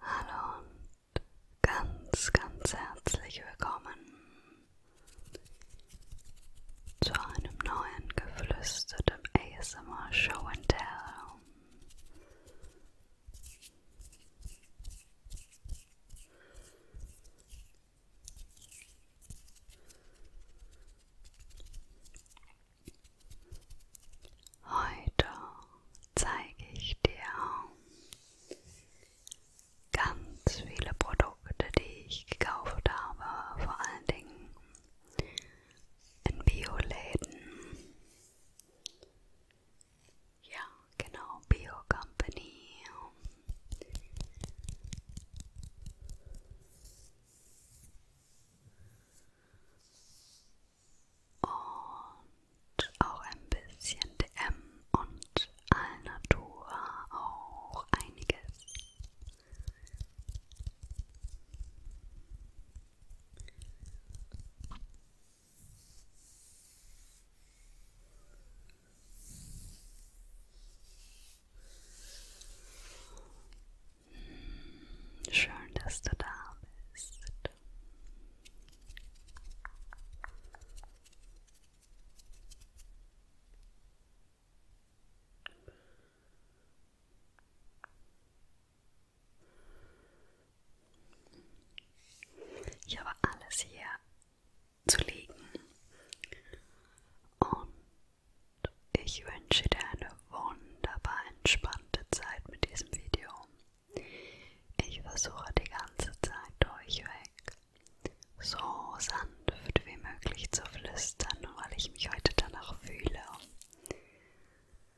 Hallo und ganz, ganz herzlich willkommen zu einem neuen geflüsterten ASMR Show and Tell. Heute zeige ich dir ganz viele Produkte, die ich gekauft habe, vor allen Dingen in Bioläden ja, genau, Bio Company. Und auch ein bisschen DM und Alnatura auch einiges. Schön, dass du da bist. Ich habe alles hier zu liegen und ich wünsche dir eine wunderbar entspannte Zeit mit diesem Video. Ich versuche die ganze Zeit durchweg so sanft wie möglich zu flüstern, weil ich mich heute danach fühle.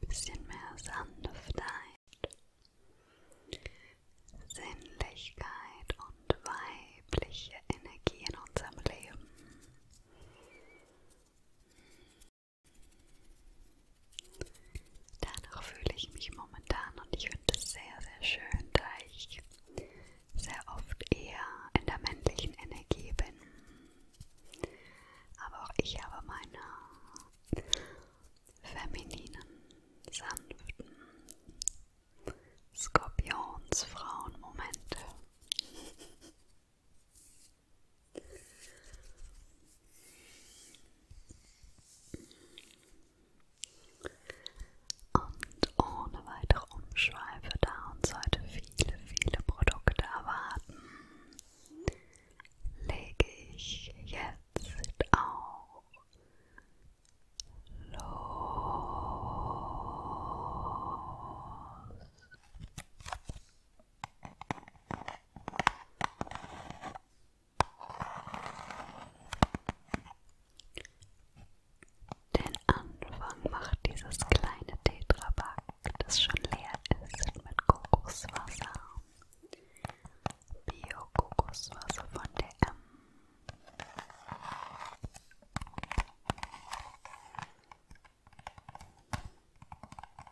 Ein bisschen mehr Sanftheit, Sinnlichkeit und weibliche Energie in unserem Leben. Danach fühle ich mich momentan und ich finde es sehr, sehr schön, da ich sehr oft eher in der männlichen Energie bin. Aber auch ich habe meine femininen, sanften Skorpionsfrauenmomente. Und ohne weitere Umschweife, da uns heute viele, viele Produkte erwarten, lege ich jetzt auch los. Den Anfang macht dieses kleine Tetrapack, das schon leer ist, mit Kokoswasser. Bio-Kokoswasser von DM.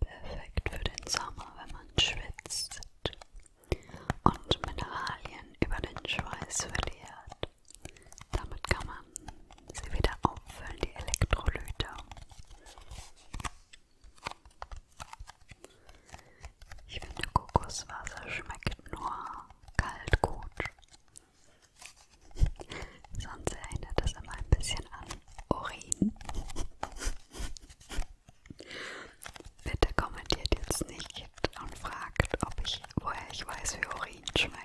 Perfekt für den Sommer, wenn man schwitzt und Mineralien über den Schweiß verliert. Damit kann man sie wieder auffüllen, die Elektrolyte. Ich finde, Kokoswasser schmeckt nur kalt gut. Sonst erinnert das immer ein bisschen an Urin. Bitte kommentiert jetzt nicht und fragt, ob ich, woher ich weiß, wie Urin schmeckt.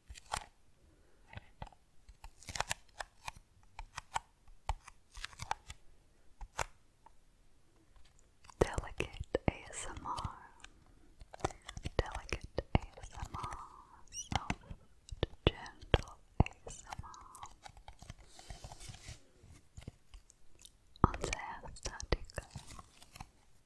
Delicate ASMR. Delicate ASMR. gentle ASMR. On the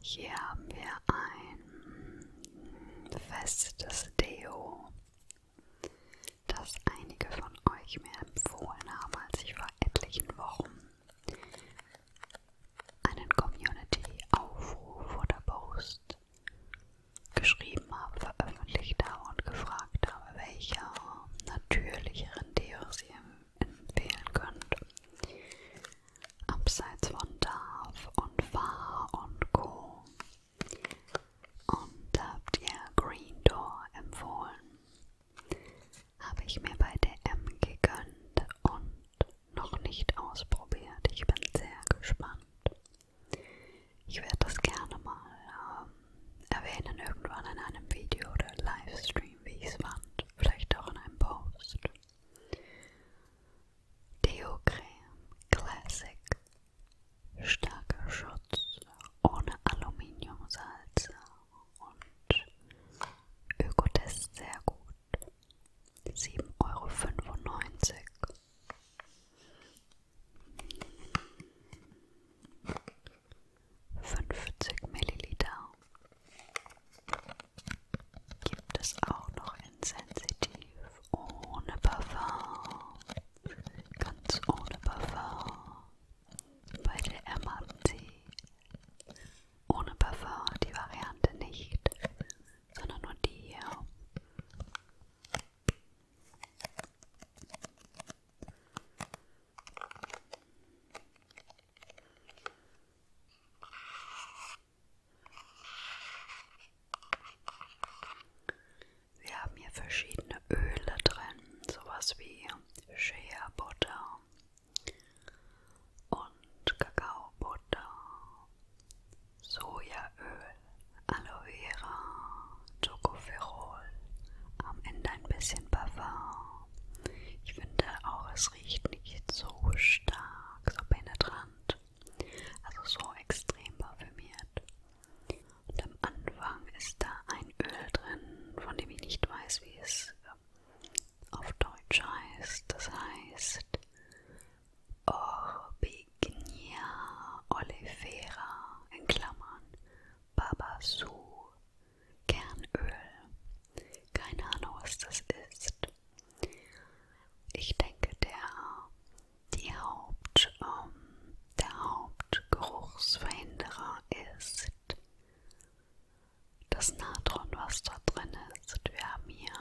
Hier haben wir ein festes Deo, das einige von euch mir empfohlen haben, als ich vor etlichen Wochen einen Community-Aufruf oder Post geschrieben habe, veröffentlicht habe und gefragt habe, welcher natürlichere an die ihr sie empfehlen könnt. Abseits von Darf und Fahr und Co. Und da habt ihr Green Door empfohlen. Habe ich mir bei DM gegönnt und noch nicht ausprobiert. Ich bin sehr gespannt. Ich werde das gerne mal ähm, erwähnen irgendwann in einem Video oder Livestream, wie ich es fand. Vielleicht auch in einem Post. Deo-Creme Classic. Starker Schutz ohne Aluminiumsalze und Ökotest sehr gut. 7,95 Euro. 50 Milliliter gibt es auch noch in Sensitiv ohne Parfum, ganz ohne Parfum bei der MAC ohne Parfum die Variante nicht, sondern nur die hier. Wir haben hier verschiedene Öle drin, sowas wie Shea Butter und Kakaobutter, Sojaöl, Aloe Vera, Tocopherol, am Ende ein bisschen Parfum. Ich finde auch, es riecht nicht so stark, so penetrant, also so extrem parfümiert. Und am Anfang ist da ein Öl drin, von dem ich nicht weiß, wie es äh, auf Deutsch heißt. Das heißt Orbiginia olivera in Klammern Babasu, Kernöl. Keine Ahnung, was das ist. Ich denke, der, die Haupt, ähm, der Hauptgeruchsverhinderer ist das Natron, was da drin ist. Wir haben hier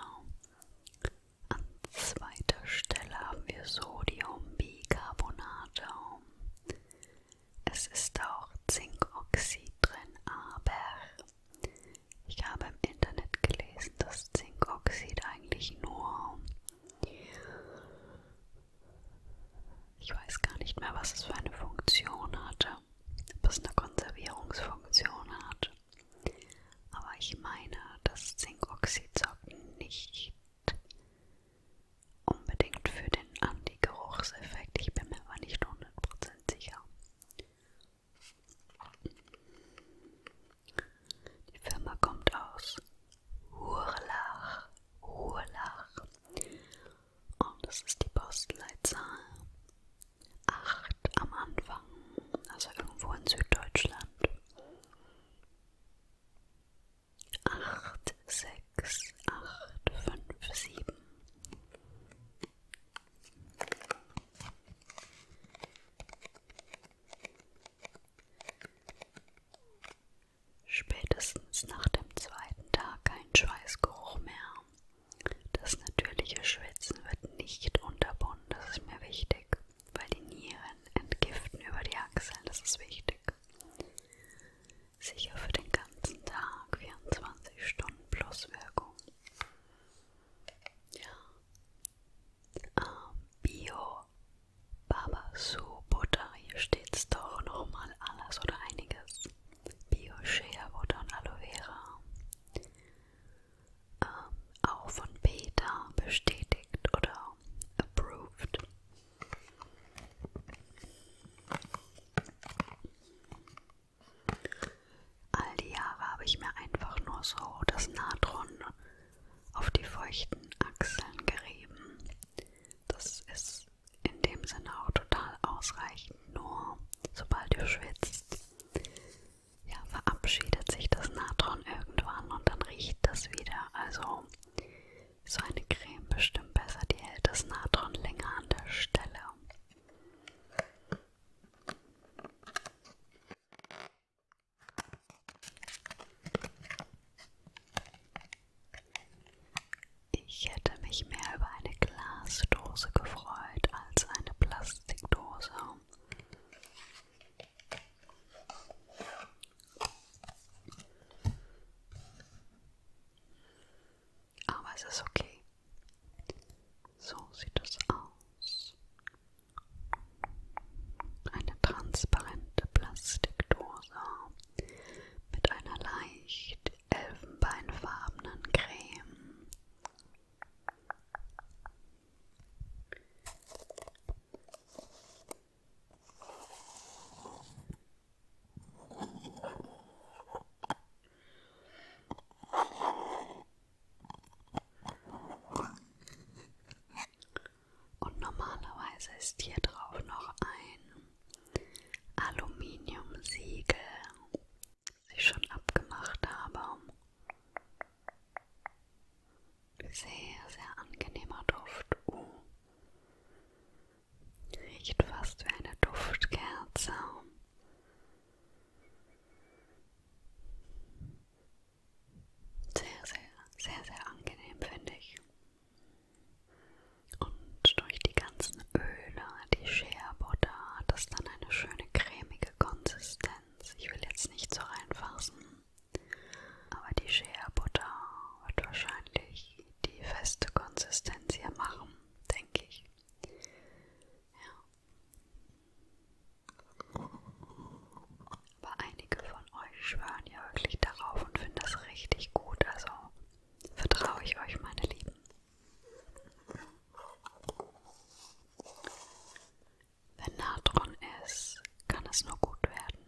an zweiter Stelle haben wir Sodium Bicarbonate. Es ist auch Zinkoxid drin, aber ich habe im Internet gelesen, dass Zinkoxid eigentlich nur... Ich weiß gar nicht mehr, was es für eine Funktion hatte, ob es eine Konservierungsfunktion hat. Aber ich meine, das Zinkoxid sorgt nicht unbedingt für den Anti-Geruchseffekt. Ich bin mir aber nicht 100% sicher. Die Firma kommt aus Urlach, Urlach. Und das ist die Postleitzahl 8 am Anfang, also irgendwo in Süddeutschland acht, sechs, acht, fünf, sieben. Spätestens nach dem zweiten Tag kein Schweißgeruch mehr. Das natürliche Schwitzen wird nicht unterbunden, das ist mir wichtig, weil die Nieren entgiften über die Achseln, das ist wichtig. Sicher für den ganzen Tag, 24 Stunden plus Wirkung. Ja. Ähm, Bio Babasu Butter, hier steht's doch nochmal alles oder einiges. Bio Shea Butter und Aloe Vera. Ähm, auch von Peter bestätigt oder approved. All die Jahre habe ich mir einfach nur so das Natron auf die feuchten Achseln gerieben. Das ist in dem Sinne auch total ausreichend, nur sobald du schwitzt, ja, verabschiedet sich das Natron irgendwann und dann riecht das wieder. Also so eine Creme bestimmt besser, die hält das Natron länger an der Stelle. Ich hätte mich mehr über eine Glasdose gefreut als eine Plastikdose. Aber es ist okay. So sieht es aus. Eine transparente Plastikdose mit einer leicht elfenbeinfarbenen Creme. Und normalerweise ist hier drauf noch ein Aluminiumsiegel, das ich schon abgemacht habe. Sehr, sehr angenehmer Duft. Uh. Riecht fast wie eine Duftkerze. Sehr, sehr, sehr, sehr angenehm, finde ich. Und durch die ganzen Öle, die Shea Butter, hat das dann eine schöne cremige Konsistenz. Ich will jetzt nicht so reinfassen. Aber die Shea Butter wird wahrscheinlich die feste Konsistenz hier machen, denke ich. Ja. Aber einige von euch schwören ja wirklich darauf und finden das richtig gut, also vertraue ich euch, meine Lieben. Wenn Natron ist, kann es nur gut werden.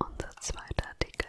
Unser zweiter Artikel.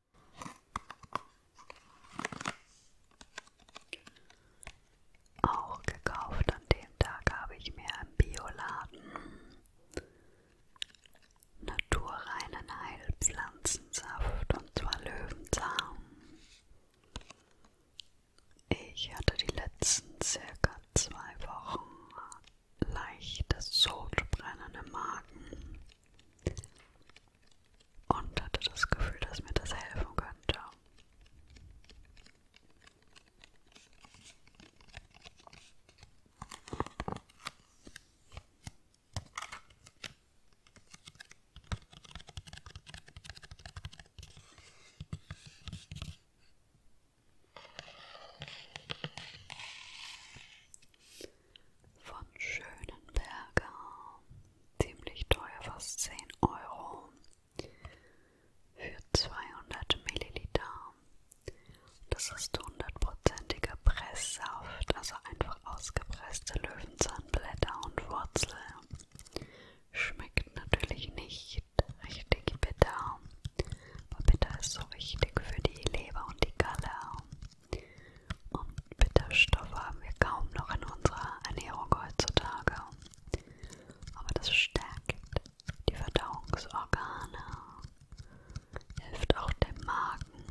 Auch gekauft an dem Tag habe ich mir im Bioladen naturreinen Heilpflanzensaft und zwar Löwenzahn. Ich hatte die letzten circa zwei Wochen leichtes Sodbrennen im Magen und hatte das Gefühl, dass mir das helfen könnte von Schönenberger. Ziemlich teuer, fast 10 Euro für 200 Milliliter. Das ist hundertprozentiger Presssaft, also einfach ausgepresste Löwenzahnblätter und Wurzel. Schmeckt natürlich nicht richtig bitter, aber bitter ist so wichtig für die Leber und die Galle. Und Bitterstoffe haben wir kaum noch in unserer Ernährung heutzutage. Aber das stärkt die Verdauungsorgane, hilft auch dem Magen,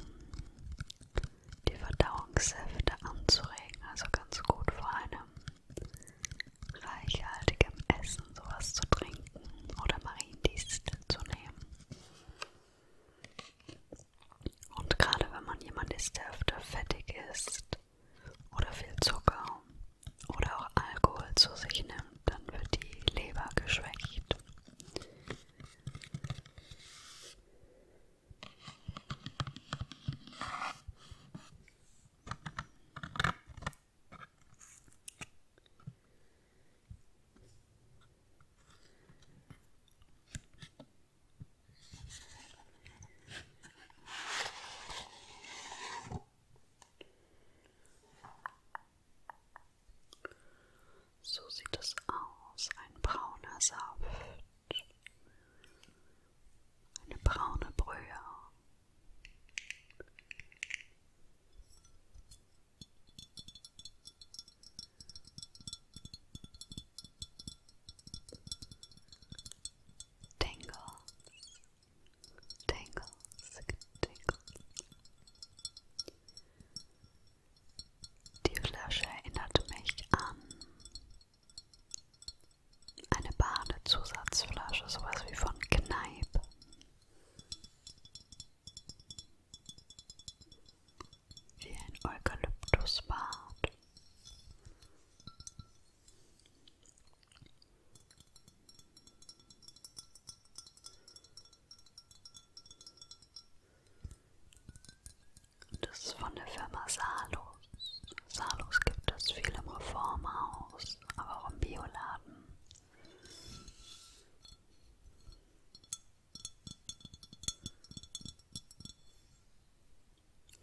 die Verdauungssäfte anzuregen, also ganz gut vor einem reichhaltigem Essen sowas zu trinken oder Mariendienst zu nehmen. Und gerade wenn man jemand ist, der öfter fettig isst oder viel Zucker oder auch Alkohol zu sich nimmt, dann wird die Leber geschwächt. So sieht es aus, ein brauner Saft, eine braune Brühe. Tangles, tangles, tangles. Die Flasche erinnert mich an eine Badezusatzflasche, sowas wie von Kneipe wie ein Eukalyptusbad. Das ist von der Firma Salos. Salos gibt es viel im Reformhaus, aber auch im Bioladen.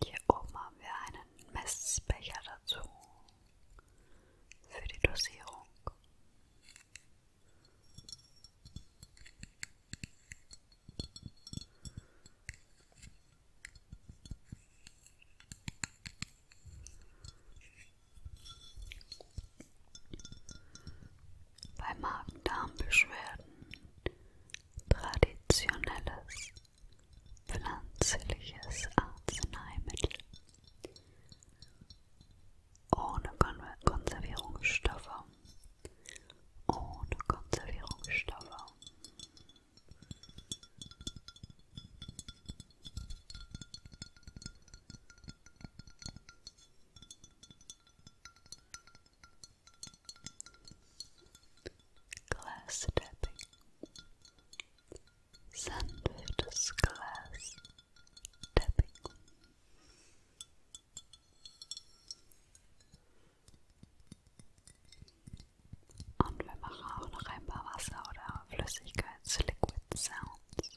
Hier oben haben wir einen Messbecher dazu für die Dosierung bei Magen-Darm-Beschwerden traditionelles pflanzliches Arzneimittel ohne Kon Konservierungsstoffe, ohne Konservierungsstoffe. glass tapping, sandwiches glass tapping. Und wir machen auch noch ein paar Wasser- liquid sounds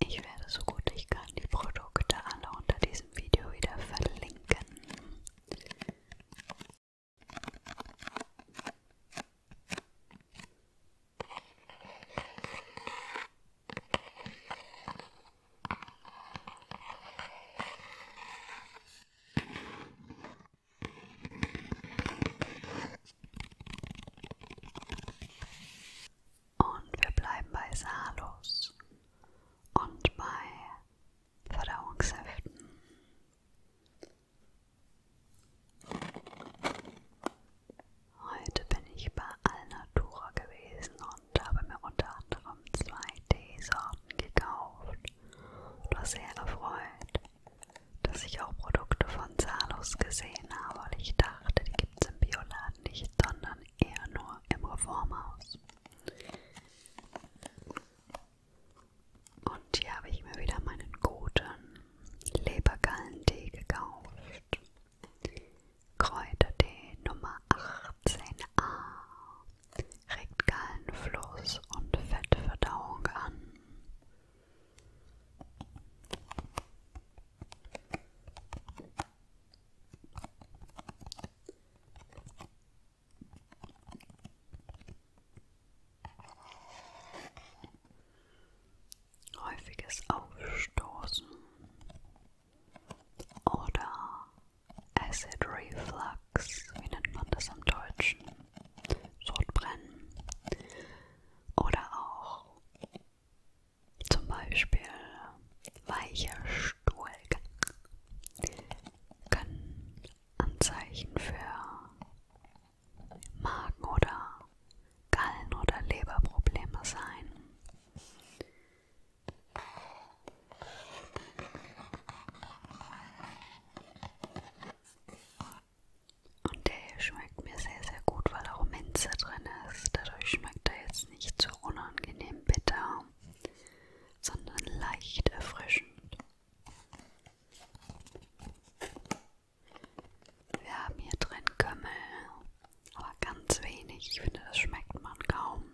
Ich werde so gut ich kann die Produkte alle unter diesem Video wieder verlinken. Und wir bleiben bei Salus und bei Verdauungsheften. Heute bin ich bei Alnatura gewesen und habe mir unter anderem zwei Teesorten gekauft und war sehr erfreut, dass ich auch Produkte von Salus gesehen habe, weil ich dachte, die gibt es im Bioladen nicht, sondern eher nur im Reformhaus. Und hier habe ich mir wieder meinen guten Lebergallentee gekauft. Kräutertee Nummer 18a regt Gallenfluss und Fettverdauung an. Häufiges Aufstoßen oder Acid Reflux, wie nennt man das im Deutschen? Sodbrennen. Oder auch zum Beispiel weicher Stuhlgang können Anzeichen für Magen- oder Gallen- oder Leberprobleme sein. Und der schmeckt mir sehr, sehr gut, weil auch Minze drin ist. Dadurch schmeckt er jetzt nicht so unangenehm bitter, sondern leicht erfrischend. Wir haben hier drin Kümmel, aber ganz wenig. Ich finde, das schmeckt man kaum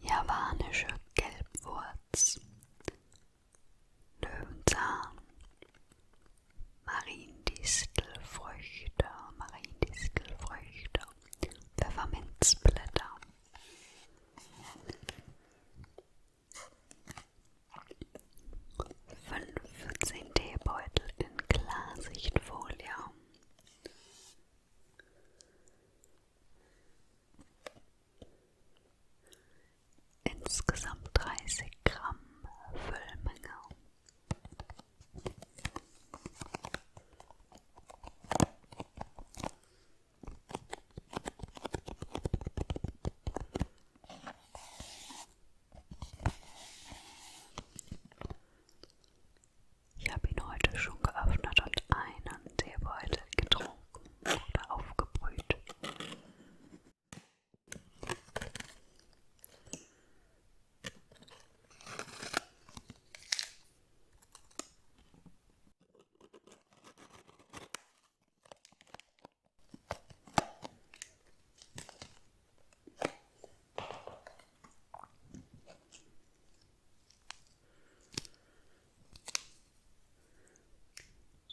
javanische Gelbwurz, Löwenzahn, Mariendistelfrüchte, Mariendistelfrüchte, Pfefferminzblätter. Fünfzehn Teebeutel in Klarsichtfolie. Insgesamt 30 Gramm Füllmenge. Ich habe ihn heute schon geöffnet und einen Teebeutel getrunken oder aufgebrüht.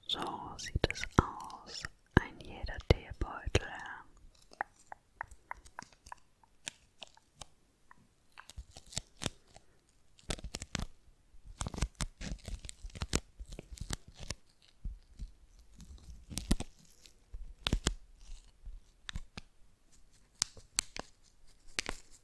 So sieht es aus, ein jeder Teebeutel. So,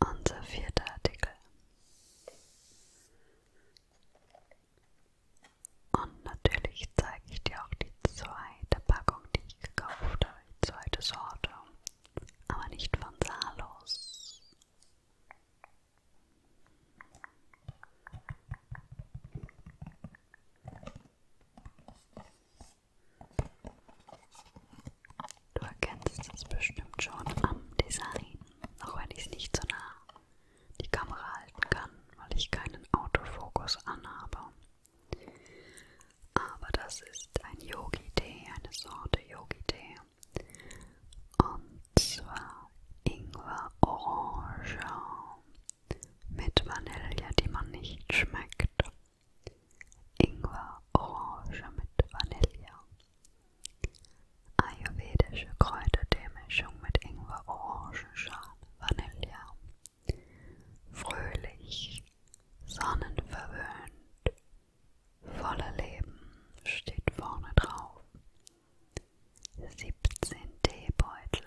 Unser vierter Artikel. Und natürlich zeige ich dir auch die zweite Packung, die ich gekauft habe, die zweite Sorte, aber nicht von Salos. Du erkennst es bestimmt schon am Design, auch wenn ich es nicht so nah die Kamera halten kann, weil ich keinen Autofokus anhabe. Aber das ist ein Yogi-Tee, eine Sorte Yogi-Tee. Und zwar Ingwer Orange mit Vanille, die man nicht schmeckt, Ingwer, Orange mit Vanille, ayurvedische Kräuterteemischung mit Ingwer, Orangenschale, Vanille, fröhlich, sonnenverwöhnt, voller Leben steht vorne drauf. 17 Teebeutel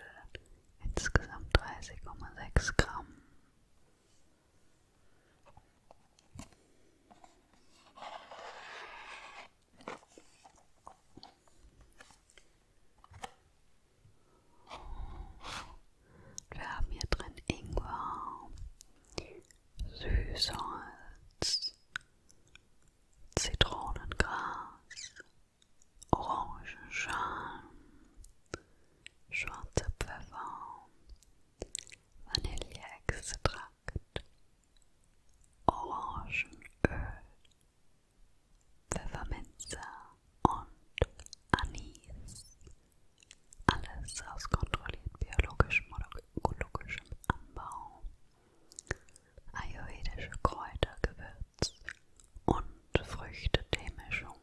insgesamt 30,6 Gramm. Wir haben hier drin Ingwer, Süßholz, Zitronengras, Orangenschalen, schwarzer Pfeffer, Vanilleextrakt, Orangenöl, Pfefferminze und Anis. Alles aus kontrolliert biologisch-molekologischem Anbau. Ayurvedische Kräuter, Gewürze Gewürz und Früchteteemischung.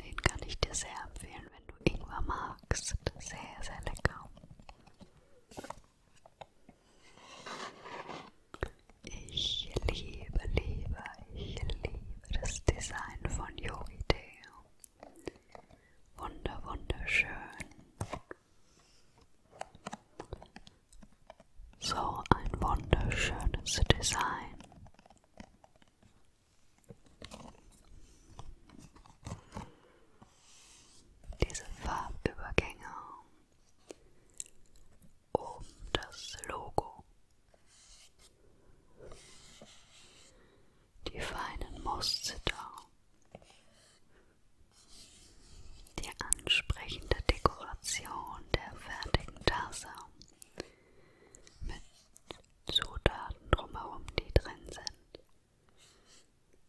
Den kann ich dir sehr empfehlen, wenn du Ingwer magst. Sehr, sehr lecker. Ich liebe, liebe, ich liebe das Design von Yogi Tee. Wunder, wunderschön. So ein wunderschönes Design. Diese Farbübergänge um das Logo die feinen Mooszittau, die ansprechende Dekoration der fertigen Tasse mit Zutaten drumherum, die drin sind,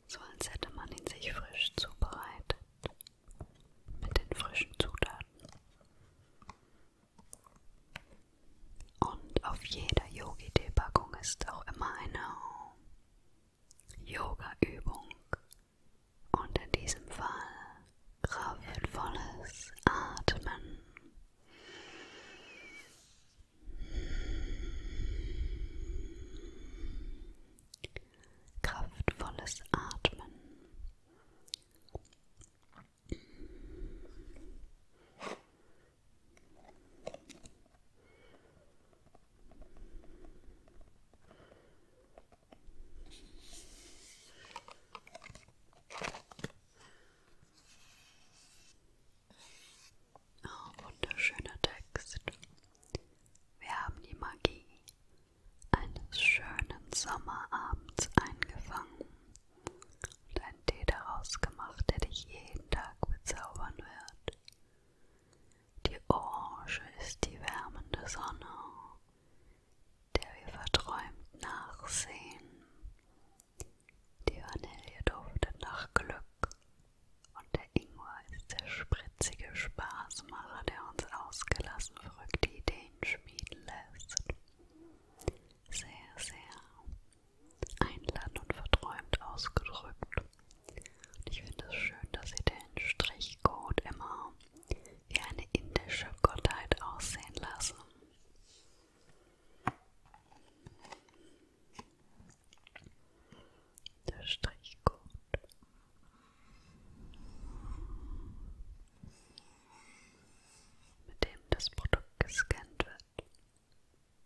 so als hätte man ihn sich frisch zubereitet mit den frischen Zutaten. Und auf jeder Yogi-Tee-Packung ist auch immer eine Yoga-Übung. Und in diesem Fall kraftvolles Atmen. Kraftvolles Atmen. Und Oh, wunderschöner Text. Wir haben die Magie eines schönen Sommerabends eingefangen und einen Tee daraus gemacht, der dich jeden Tag bezaubern wird wird. Die Orange ist die wärmende Sonne, der wir verträumt nachsehen. Die Vanille duftet nach Glück und der Ingwer ist der spritzige Spaßmacher, der uns ausgelassen verrückte Ideen schmieden lässt. Sehr, sehr einladend und verträumt ausgedrückt. Und ich finde es schön, dass sie den Strichcode immer wie eine indische Gottheit aussehen lassen. Der Strichcode. Mit dem das Produkt gescannt wird.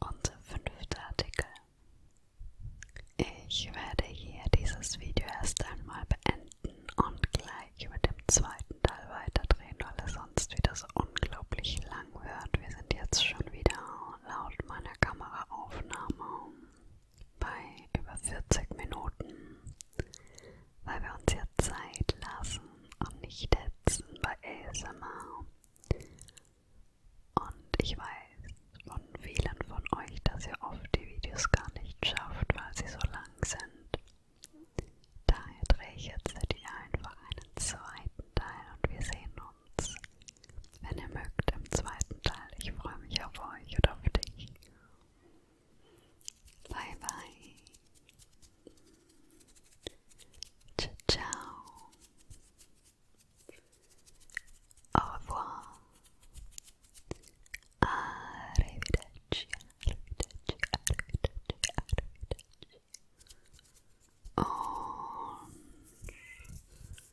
Unser fünfter Artikel. Ich werde hier dieses Video erst einmal beenden und gleich mit dem zweiten Teil weiterdrehen, weil es sonst wieder so unglaublich lang wird. Wir sind jetzt schon wieder laut meiner Kameraaufnahme bei über 40 Minuten, weil wir uns ja Zeit lassen und nicht hetzen bei ASMR. Und ich weiß von vielen von euch, dass ihr oft die Videos gar nicht schafft, weil sie so lang sind. Daher drehe ich jetzt für dich einfach einen zweiten Teil und wir sehen uns wenn ihr mögt, im zweiten Teil. Ich freue mich auf euch und auf dich. Bye bye. Ciao, ciao. Au revoir. Arrivederci, arrivederci, arrivederci, arrivederci. Und